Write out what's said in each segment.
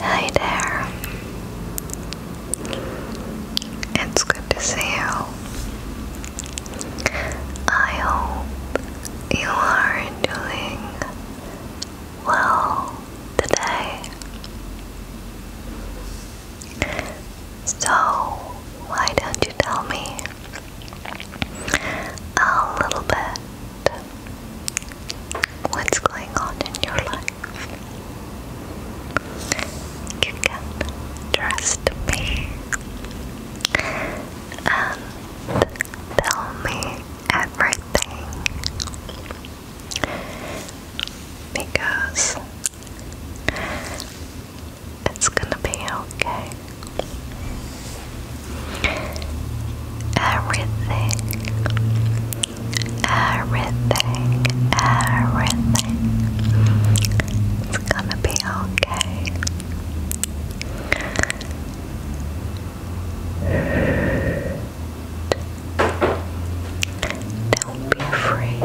Hi there. It's good to see you. I hope you are doing well today. So, why don't you tell me a little bit what's going on in your life. You trust me and tell me everything because it's gonna be okay. Everything Everything, everything. It's gonna be okay. Don't be afraid.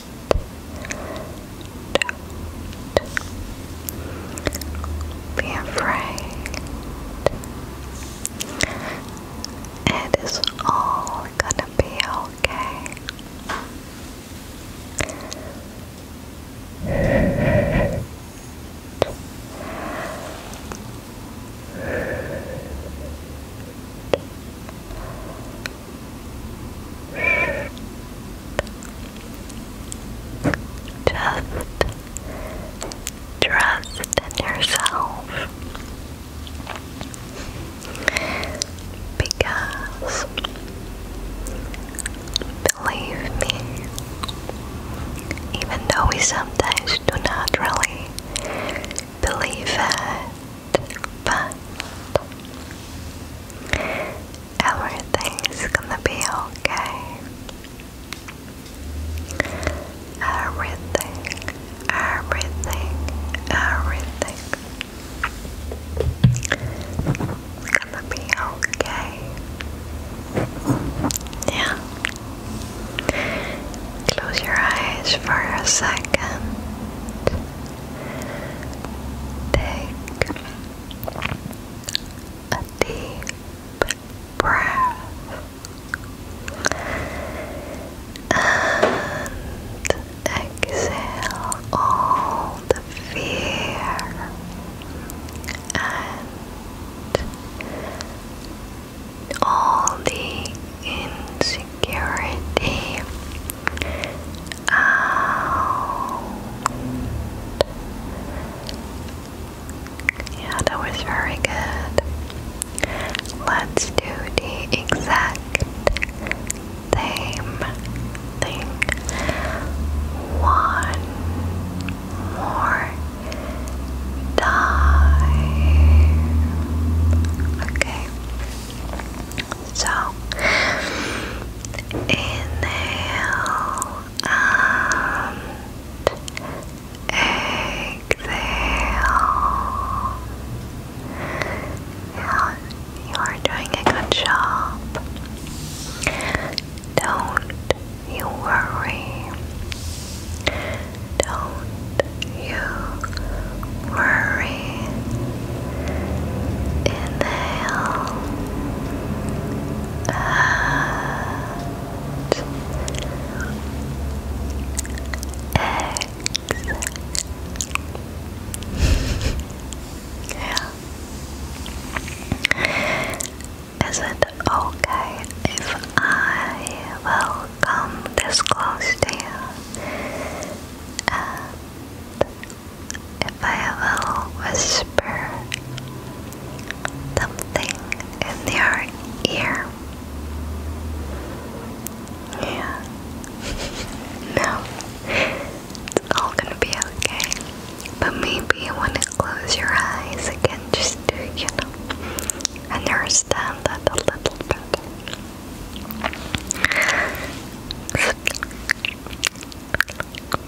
Don't be afraid. It is all gonna be okay. Just trust in yourself because believe me, even though we sometimes do not really believe it, but Everything's gonna be okay. Everything, everything, everything. gonna be okay. Yeah. Close your eyes for a second. Take a deep breath and exhale all the fear and all the insecurity out. Yeah, that was very good. Let's do the exact same thing. One more time. Okay. So inhale exhale. you are doing a good job. Don't you worry. Don't you worry Inhale exhale. Is it okay if I will this close to you if I will whisper something in your ear. Yeah. no. It's all gonna be okay. But maybe when you close your eyes again, just you know, understand that a little bit.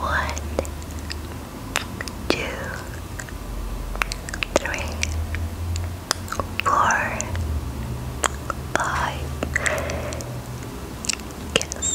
One, two, three, four, five. Kiss.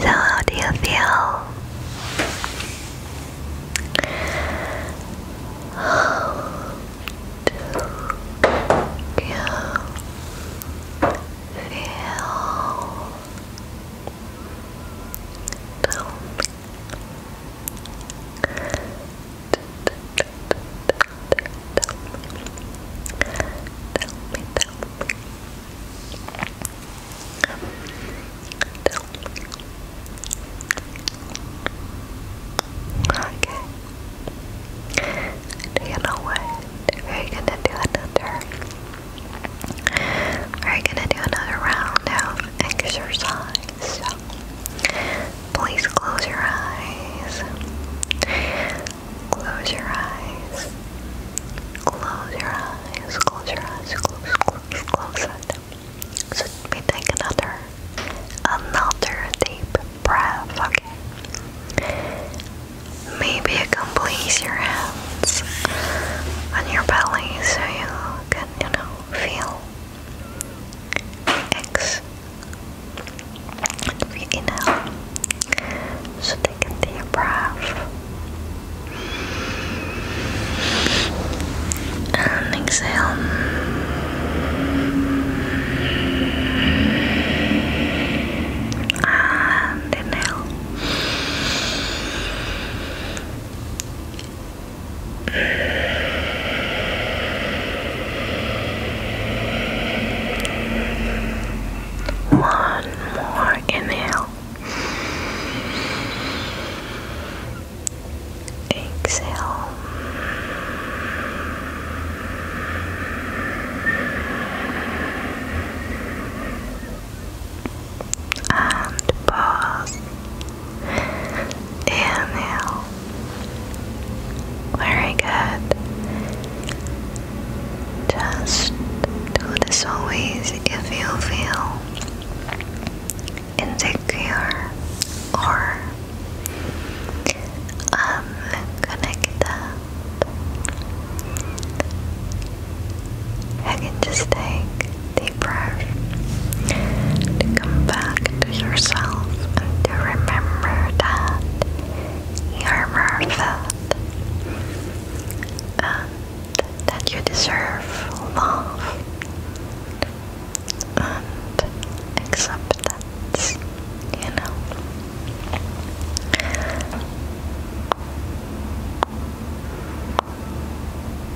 So how do you feel? How do you feel? Tell me. Tell me. Tell me, tell me. Tell me. Okay. Do you know what? We're gonna do another we're gonna do another round of exercise. please close your eyes. Close your eyes. Close your eyes. Close your eyes. Close, close, close take another, another deep breath. Okay. Maybe you can your on your belly so you can, you know, feel relax. If you inhale, so take a deep breath. And exhale. And inhale. One more inhale. Exhale and pause. Inhale. Very good. Just do this always if you feel insecure or unconnected. You just take to come back to yourself and to remember that you are worth it and that you deserve love and acceptance, you know.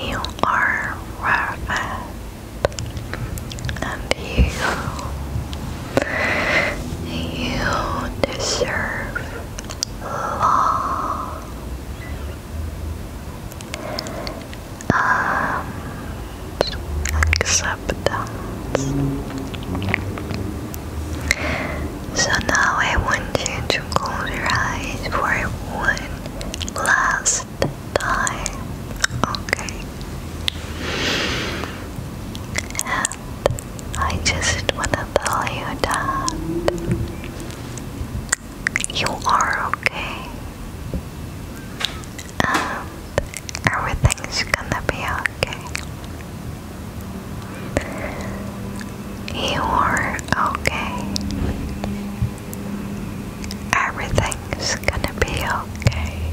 You are perfect, and you, you deserve love. acceptance. So now I want you to close your eyes for one last time. Okay. And I just wanna tell you that you are okay. And everything's gonna be okay. You are okay. Everything's gonna be okay.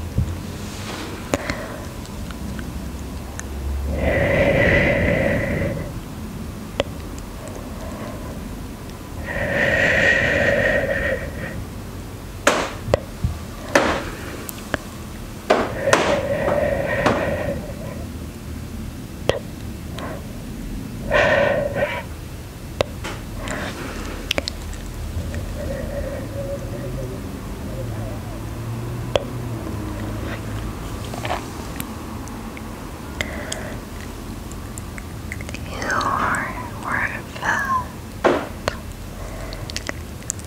You are worth it,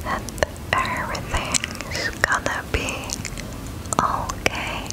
and everything's gonna be okay.